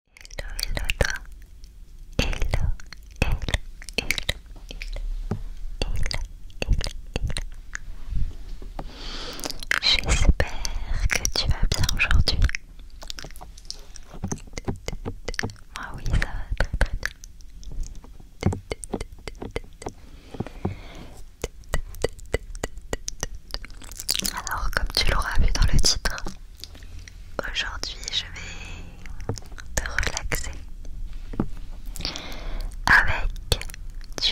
Hello, hello toi. Hello, hello, hello, hello, hello, hello. J'espère que tu vas bien aujourd'hui. Moi oui, ça va très Alors comme tu l'auras vu dans le titre, Aujourd'hui, je vais te relaxer avec du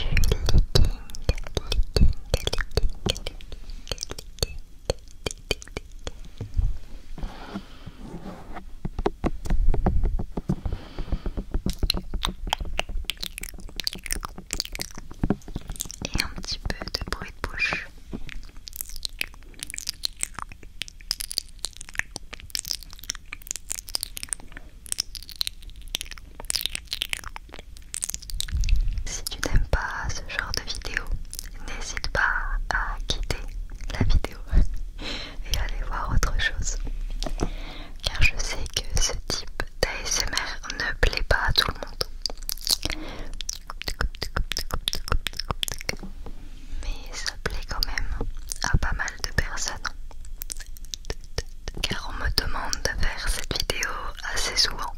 et un petit peu de bruit de bouche. Si tu n'aimes pas ce genre de vidéo, n'hésite pas à quitter la vidéo et aller voir autre chose. Car je sais que ce type d'ASMR ne plaît pas à tout le monde. Mais ça plaît quand même à pas mal de personnes. Car on me demande de faire cette vidéo assez souvent.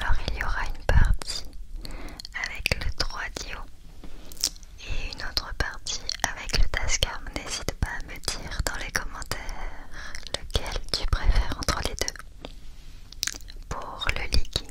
Alors il y aura une partie avec le 3 dio et une autre partie avec le Tascar, n'hésite pas à me dire dans les commentaires lequel tu préfères entre les deux pour le leaking.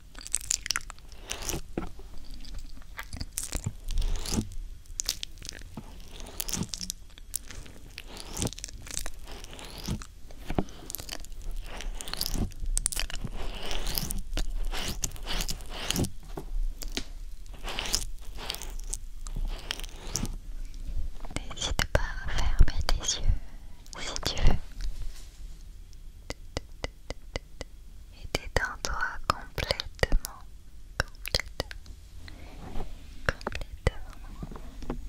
N'hésite pas à fermer tes yeux si tu veux était en toi complètement, complètement, complètement.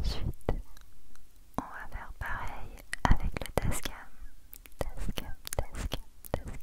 Ensuite, on va faire pareil avec le tascam. Tascam, tascam, tascam, tascam.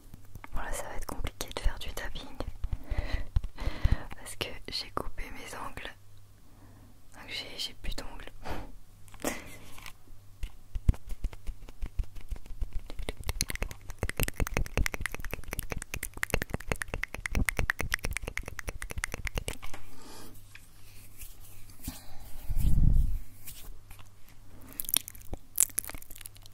Voilà, ça va être compliqué de faire du tapping parce que j'ai coupé mes ongles, donc j'ai plus d'ongles.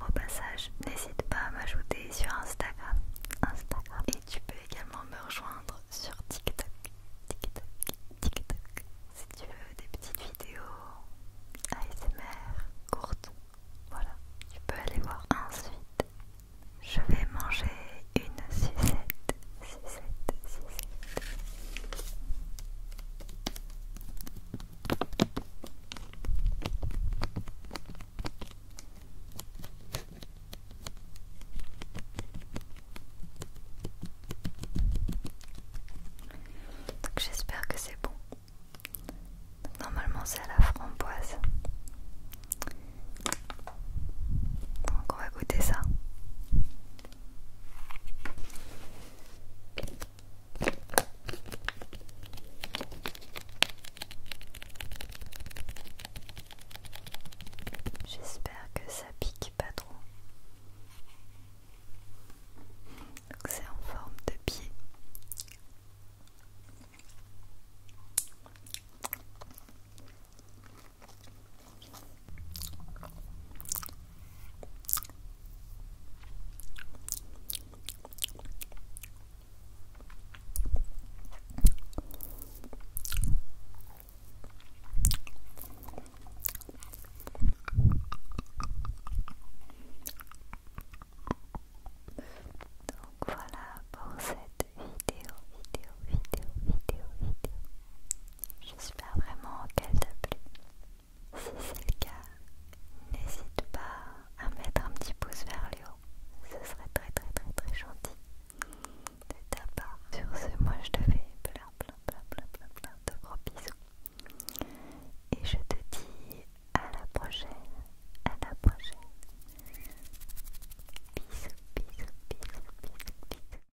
Au passage, n'hésite pas à m'ajouter sur Instagram. Instagram. Et tu peux également me rejoindre sur TikTok. TikTok, TikTok. Si tu veux des petites vidéos ASMR courtes, voilà, tu peux aller voir. Ensuite, je vais manger une sucette donc j'espère que c'est bon. Normalement c'est à la framboise. Donc on va goûter ça. J'espère que ça pique pas trop. C'est en forme de pied. Donc voilà pour cette vidéo, vidéo, vidéo, vidéo, vidéo. J'espère vraiment qu'elle te plu, Si c'est le cas, n'hésite pas à mettre un petit pouce vers le haut. Ce serait très très très très gentil de ta part. Sur ce, moi je te fais plein plein plein plein plein de gros bisous. Et je te dis à la prochaine. À la prochaine. Bisous bisous bisous bisous bisous.